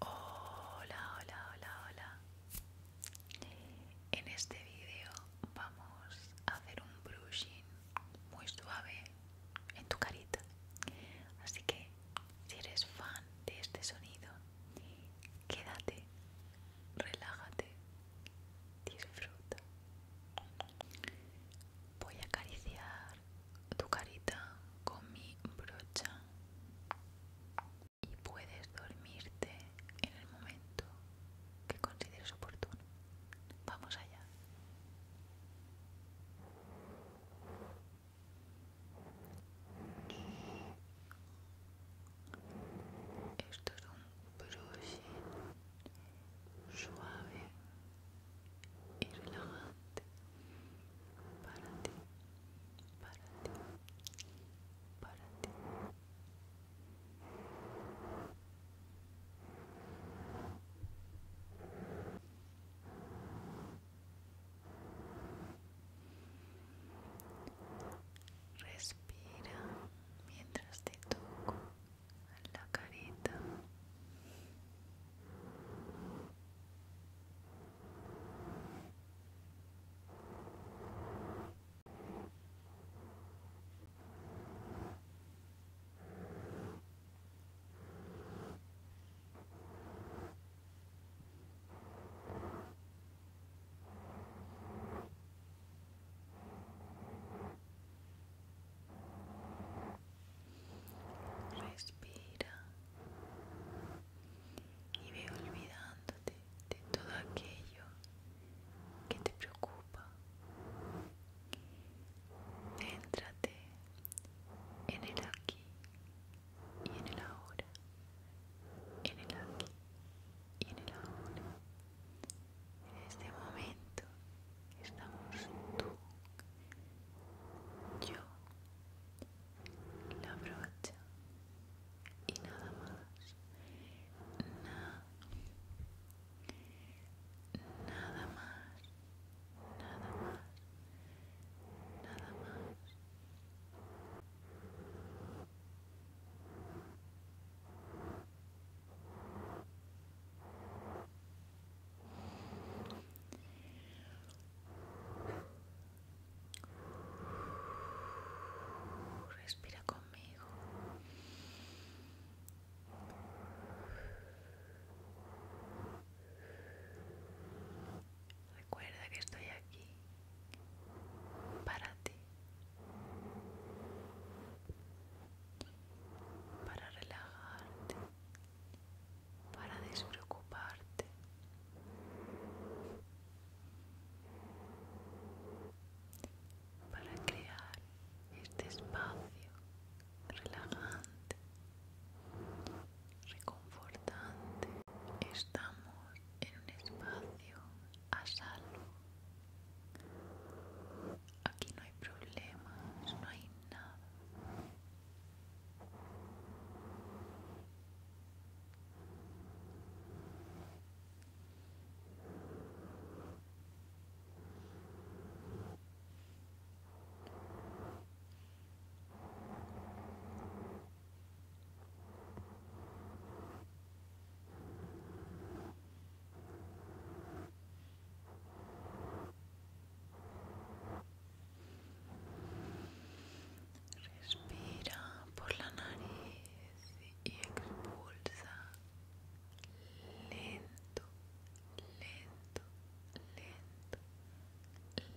Hola, hola, hola, hola. En este vídeo vamos a hacer un brushing muy suave en tu carita. Así que si eres fan de este sonido, quédate relájate, disfruta. Voy a acariciar tu carita con mi brocha y puedes dormirte en el momento que consideres oportuno. Vamos allá. Esto es un brush suave y relajante para ti, para ti, para ti. Respira mientras te toco la carita. Respira y ve olvidándote de todo aquello que te preocupa. entrate en el aquí y en el ahora, en el aquí en el ahora. En este momento estamos tú, yo, la brocha y nada más. Na nada más, nada más, nada más. Respira conmigo. Recuerda que estoy aquí para ti, para relajarte, para despreocuparte. Para crear este espacio relajante reconfortante. Estamos en un espacio a salvo. Aquí no hay problemas, no hay nada. Respira por la nariz y expulsa lento, lento, lento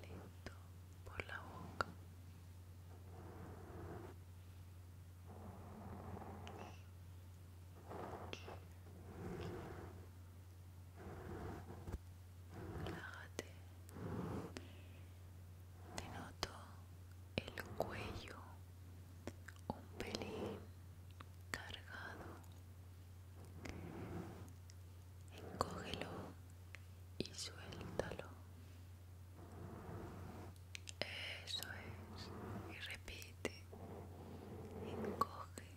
lento por la boca. Relájate. Te noto el cuello un pelín cargado encógelo y suéltalo. Eso es. Y repite. Encoge,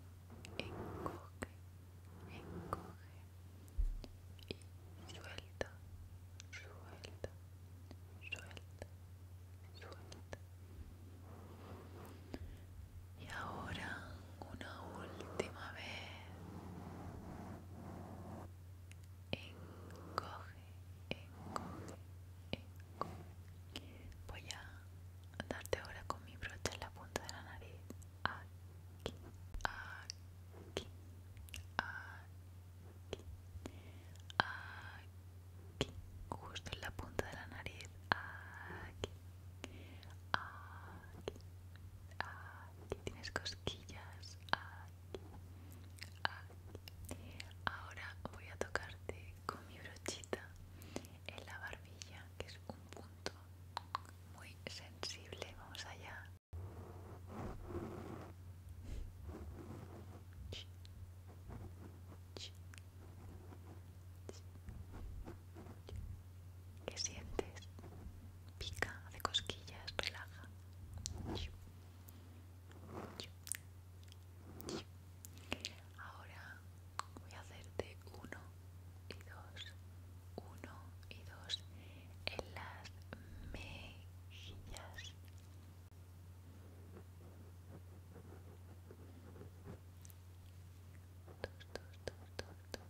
encoge, encoge. Y suelta, suelta, suelta, suelta. Y ahora una última vez. Encoge, encoge, encoge. Voy a darte ahora con mi brocha en la punta de la nariz. Aquí, aquí, aquí, aquí. Justo en la punta de la nariz. Aquí aquí, aquí, tienes cosquillas, aquí, aquí. Ahora voy a tocarte con mi brochita en la barbilla, que es un punto muy sensible. Vamos allá. ¿Qué sientes? Pica, hace cosquillas, relaja. Ahora voy a hacerte uno y dos, uno y dos en las mejillas dos, dos, dos, dos, dos.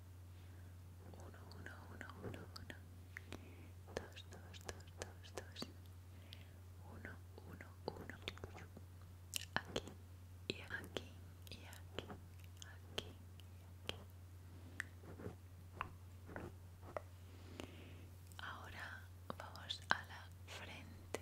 Uno, uno, uno, uno, uno. Dos, dos, dos, dos, dos. Uno, uno, uno. Aquí y aquí y aquí, aquí aquí. Ahora vamos a la frente.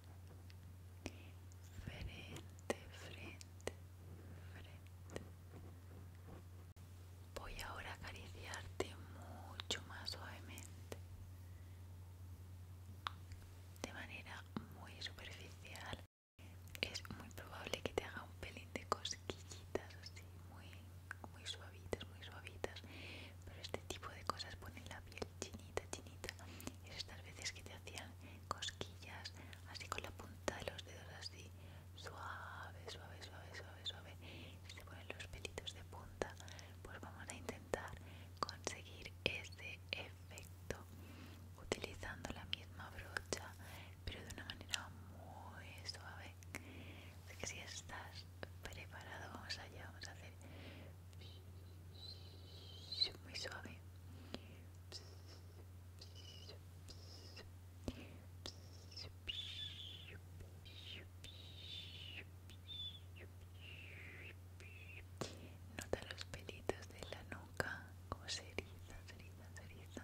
frente, frente, frente. Voy ahora a acariciarte mucho más suavemente, de manera muy superficial. Es muy probable que te haga un pelín de cosquillitas así, muy, muy suavitas, muy suavitas. Pero este tipo de cosas ponen la piel chinita, chinita. Y estas veces que te hacían cosquillas, así con la punta de los dedos, así suave, suave, suave, suave, suave. Se ponen los pelitos de punta. Pues vamos a intentar conseguir ese efecto utilizando la misma brocha, pero de una manera muy suave. Así que si estás preparado, vamos allá, vamos a hacer muy suave nota los pelitos de la nuca como ceriza, ceriza, se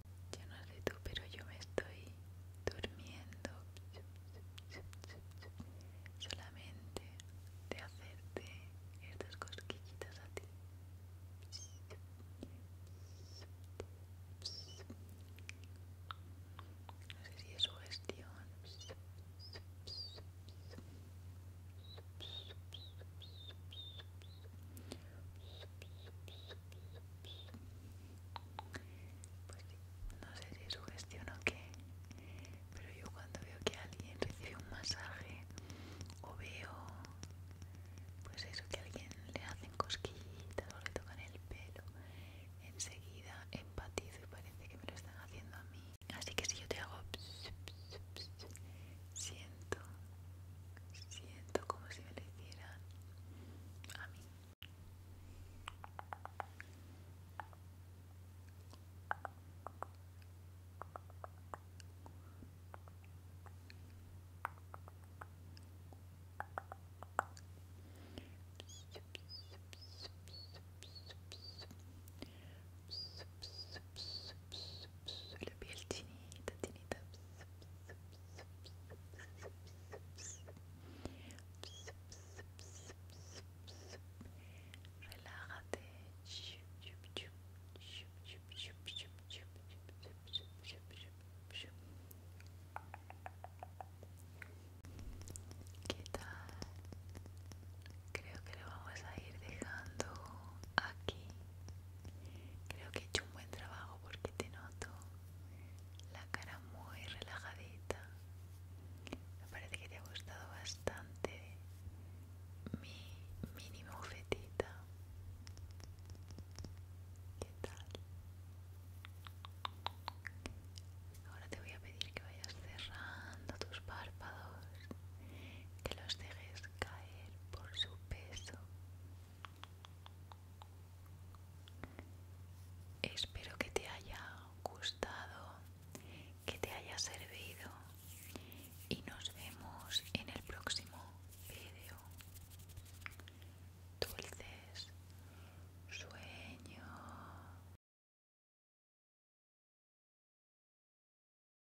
Yo no sé tú, pero yo me estoy durmiendo solamente de hacerte estas cosquillitas a ti. No sé si es sugestión. Pues sí, no sé si es gestión o qué, pero yo cuando veo que alguien recibe un masaje o veo, pues eso, que alguien le hacen cosquillitas o le tocan el pelo, enseguida empatizo y parece que me lo están haciendo a mí. Así que si yo te hago... Siento, siento como si me lo hicieran a mí ps, Relájate. ¿Qué tal? Creo que lo vamos a ir dejando aquí Creo que he hecho un buen trabajo porque te noto la cara muy relajadita. Me parece que te ha gustado bastante mi mini bufetita. ¿Qué tal? Ahora te voy a pedir que vayas cerrando tus párpados, que los dejes caer por su peso. Espero que te haya gustado, que te haya servido y nos vemos en el próximo video Dulces sueños.